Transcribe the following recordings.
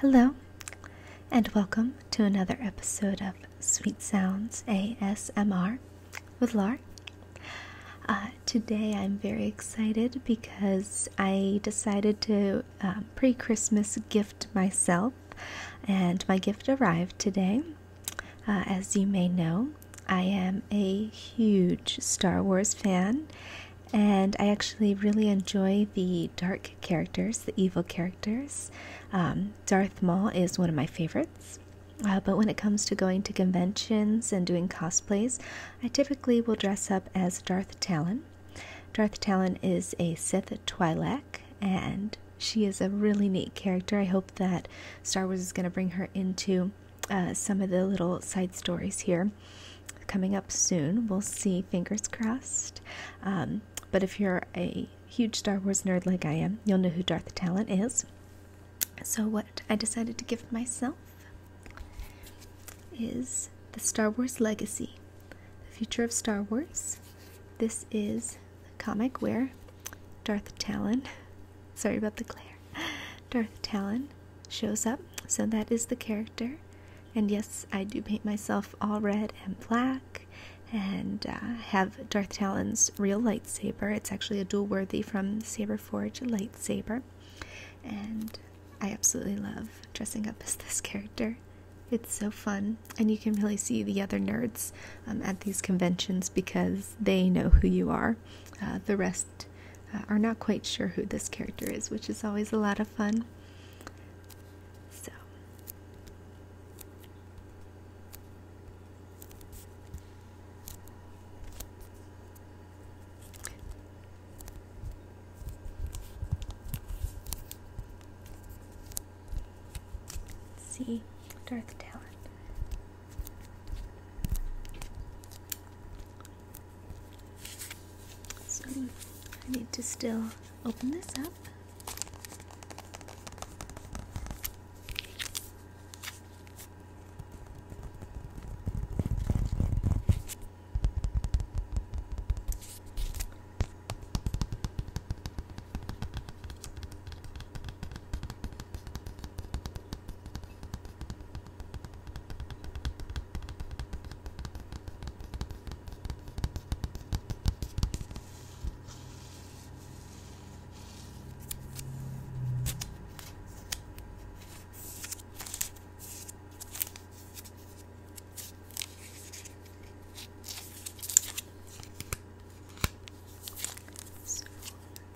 Hello, and welcome to another episode of Sweet Sounds ASMR with Lark. Uh, today I'm very excited because I decided to um, pre Christmas gift myself, and my gift arrived today. Uh, as you may know, I am a huge Star Wars fan, and I actually really enjoy the dark characters, the evil characters. Um, Darth Maul is one of my favorites. Uh, but when it comes to going to conventions and doing cosplays, I typically will dress up as Darth Talon. Darth Talon is a Sith Twi'lek, and she is a really neat character. I hope that Star Wars is going to bring her into uh, some of the little side stories here coming up soon. We'll see, fingers crossed. Um, but if you're a huge Star Wars nerd like I am, you'll know who Darth Talon is. So, what I decided to give myself is the Star Wars Legacy The Future of Star Wars. This is the comic where Darth Talon, sorry about the glare, Darth Talon shows up. So that is the character. And yes, I do paint myself all red and black and uh, have Darth Talon's real lightsaber. It's actually a duel worthy from Saber Forge lightsaber. And I absolutely love dressing up as this character. It's so fun, and you can really see the other nerds um, at these conventions because they know who you are. Uh, the rest uh, are not quite sure who this character is, which is always a lot of fun. So Let's see Darth Talon. So I need to still open this up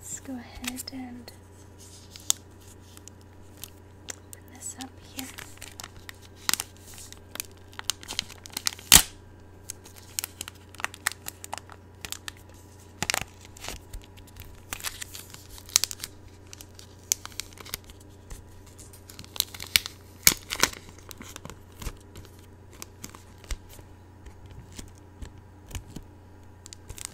let's go ahead and Open this up here.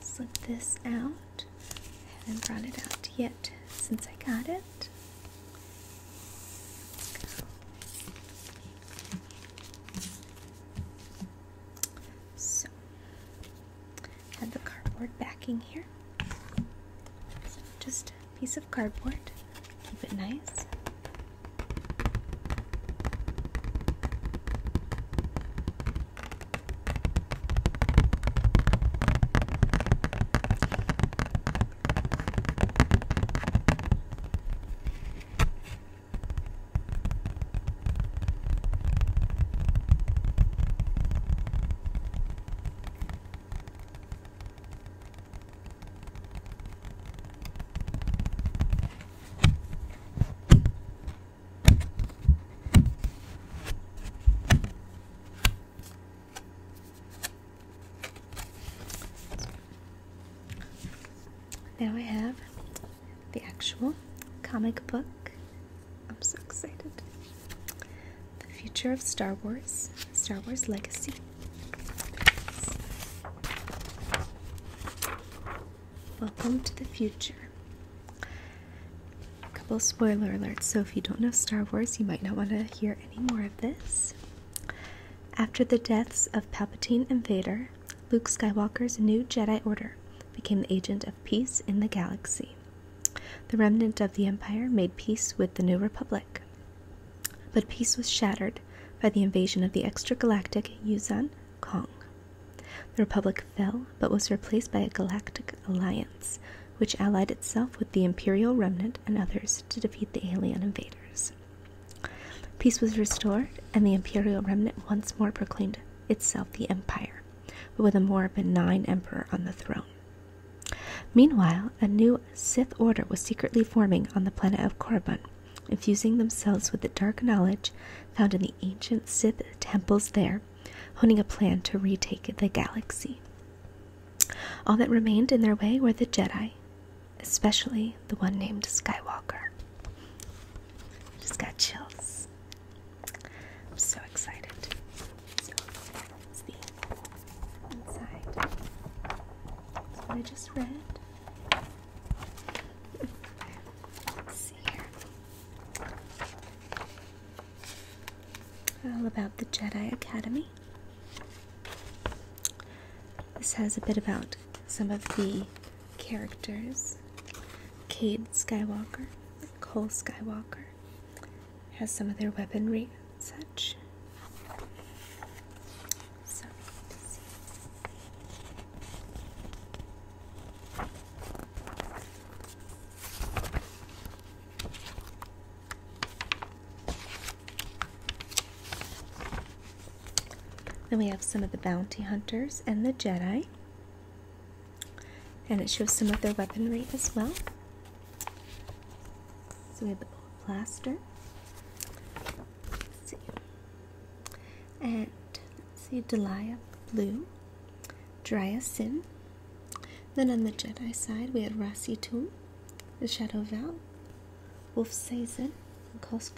Slip this out. Haven't brought it out yet since I got it. So, had the cardboard backing here. just piece of cardboard. Keep it nice. Now I have the actual comic book. I'm so excited. The Future of Star Wars, Star Wars Legacy. Welcome to the future. A couple spoiler alerts, so if you don't know Star Wars, you might not want to hear any more of this. After the deaths of Palpatine and Vader, Luke Skywalker's new Jedi Order became the agent of peace in the galaxy. The remnant of the Empire made peace with the New Republic. But peace was shattered by the invasion of the extragalactic Yuzan Kong. The Republic fell but was replaced by a galactic alliance, which allied itself with the Imperial Remnant and others to defeat the alien invaders. Peace was restored, and the Imperial Remnant once more proclaimed itself the Empire, but with a more benign emperor on the throne. Meanwhile, a new Sith order was secretly forming on the planet of Korriban, infusing themselves with the dark knowledge found in the ancient Sith temples there, honing a plan to retake the galaxy. All that remained in their way were the Jedi, especially the one named Skywalker. Just got chills. I'm so excited. So that's inside. what I just read. Let's see here. All about the Jedi Academy. This has a bit about some of the characters Cade Skywalker, Cole Skywalker, has some of their weaponry and such. Then we have some of the bounty hunters and the Jedi. And it shows some of their weaponry as well. So we have the old plaster. see. And let's see Delia Blue, Dryas Sin. Then on the Jedi side, we have Rasi Tum, the Shadow Val, Wolf Sazen, and Kos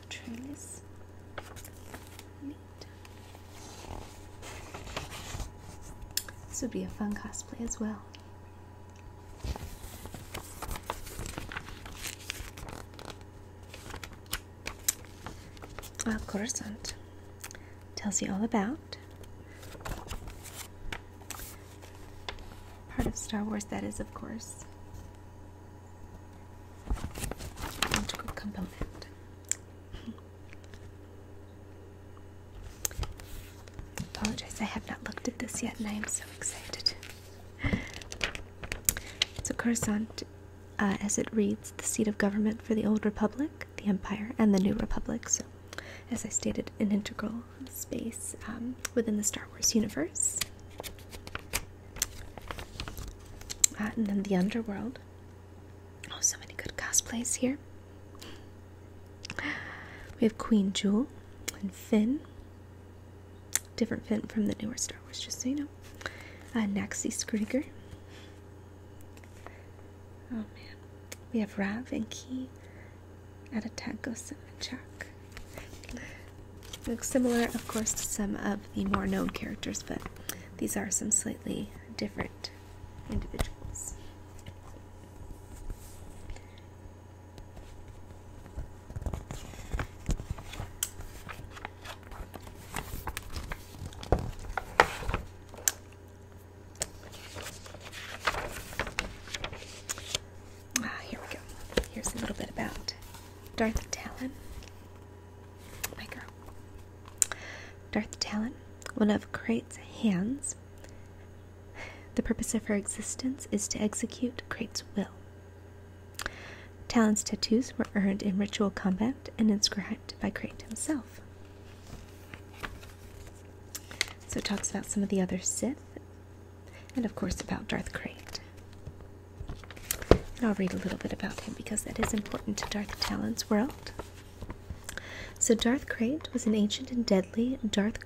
This would be a fun cosplay as well. A Coruscant tells you all about part of Star Wars that is, of course, an integral component. Apologize, I have not looked at this yet, and I am so excited. So Coruscant, uh, as it reads, the seat of government for the old republic, the empire, and the new republic. So, as I stated, an integral space um, within the Star Wars universe. Uh, and then the underworld. Oh, so many good cosplays here. We have Queen Jewel and Finn. Different Finn from the newer Star Wars, just so you know. Uh, Naxi Skriger. Oh man. We have Rav and Key at a Gosem and Looks similar, of course, to some of the more known characters, but these are some slightly different individuals. Ah, here we go. Here's a little bit about Darth Talon, my girl. Darth Talon, one of Crate's hands, the purpose of her existence is to execute Krate's will. Talon's tattoos were earned in ritual combat and inscribed by Crate himself. So it talks about some of the other Sith, and of course about Darth Crate. And I'll read a little bit about him because that is important to Darth Talon's world. So Darth Crate was an ancient and deadly Darth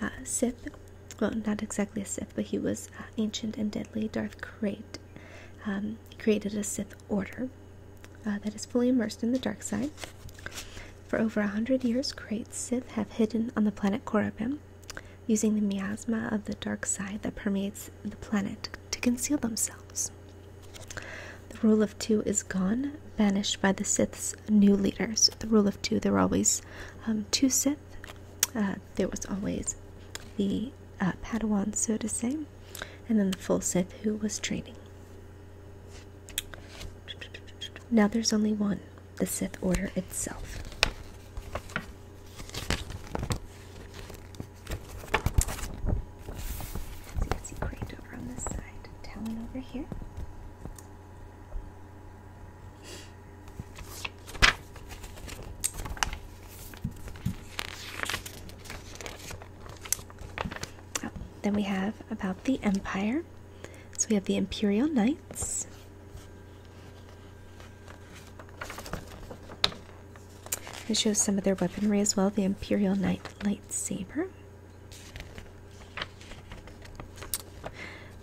uh, Sith. Well, not exactly a Sith, but he was uh, ancient and deadly. Darth Crate um, created a Sith order uh, that is fully immersed in the dark side. For over a hundred years, Crate Sith have hidden on the planet Korriban, using the miasma of the dark side that permeates the planet to conceal themselves. The rule of two is gone, banished by the Sith's new leaders. The rule of two, there were always um, two Sith. Uh, there was always the uh, Padawan, so to say, and then the full Sith who was training. Now there's only one, the Sith Order itself over this side, Talon over here. Oh, then we have about the Empire. So we have the Imperial Knights. It shows some of their weaponry as well the Imperial Knight lightsaber.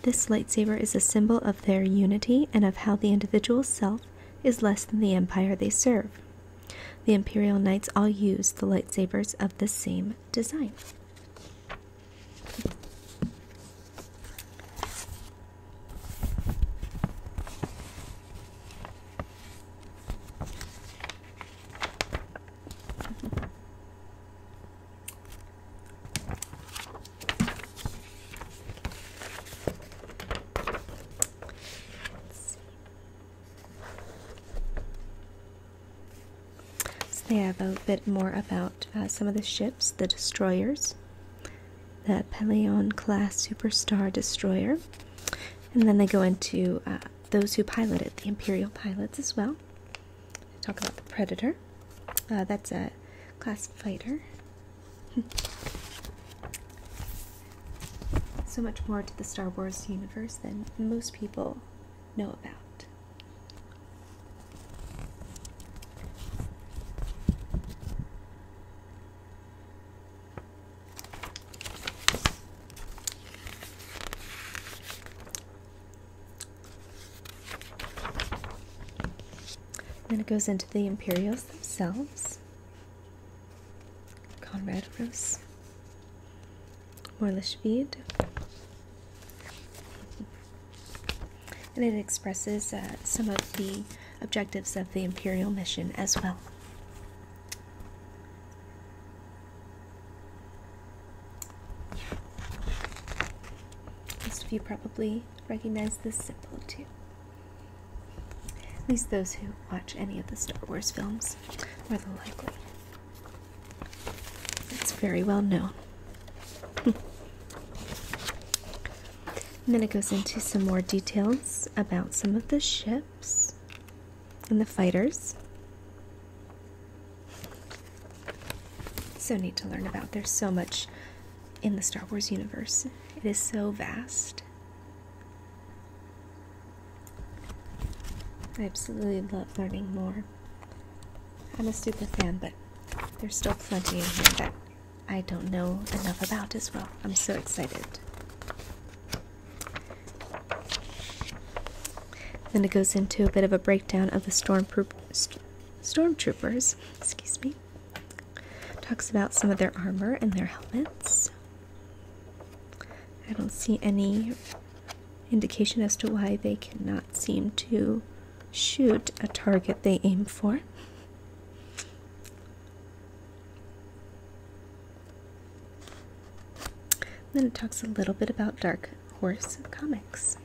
This lightsaber is a symbol of their unity and of how the individual self is less than the empire they serve. The Imperial Knights all use the lightsabers of the same design. So they have a bit more about uh, some of the ships, the destroyers, the Pelion class superstar destroyer, and then they go into uh, those who piloted the Imperial pilots as well. Talk about the Predator. Uh, that's a class fighter. so much more to the Star Wars universe than most people know about. Then it goes into the Imperials themselves. Conrad Roos, Morlishbeed. And it expresses uh, some of the objectives of the Imperial mission as well. Most of you probably recognize this symbol too. At least those who watch any of the Star Wars films, more than likely. It's very well known. and then it goes into some more details about some of the ships and the fighters. So neat to learn about. There's so much in the Star Wars universe, it is so vast. I absolutely love learning more. I'm a stupid fan, but there's still plenty in here that I don't know enough about as well. I'm so excited. Then it goes into a bit of a breakdown of the stormtroop stormtroopers. Excuse me. Talks about some of their armor and their helmets. I don't see any indication as to why they cannot seem to shoot a target they aim for then it talks a little bit about Dark Horse Comics.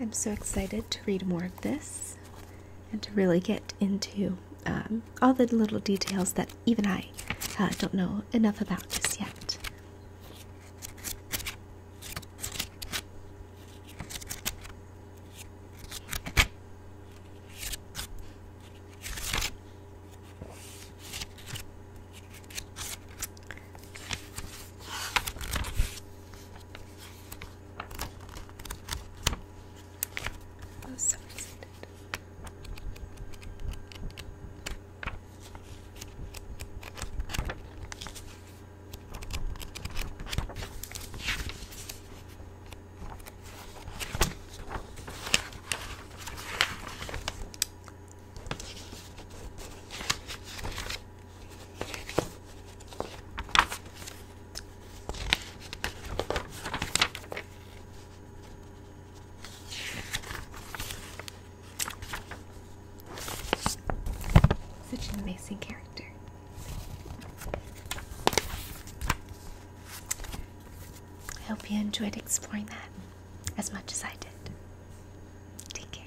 I'm so excited to read more of this and to really get into um, all the little details that even I uh, don't know enough about just yet. I oh, was so excited. Such an amazing character. I hope you enjoyed exploring that as much as I did. Take care.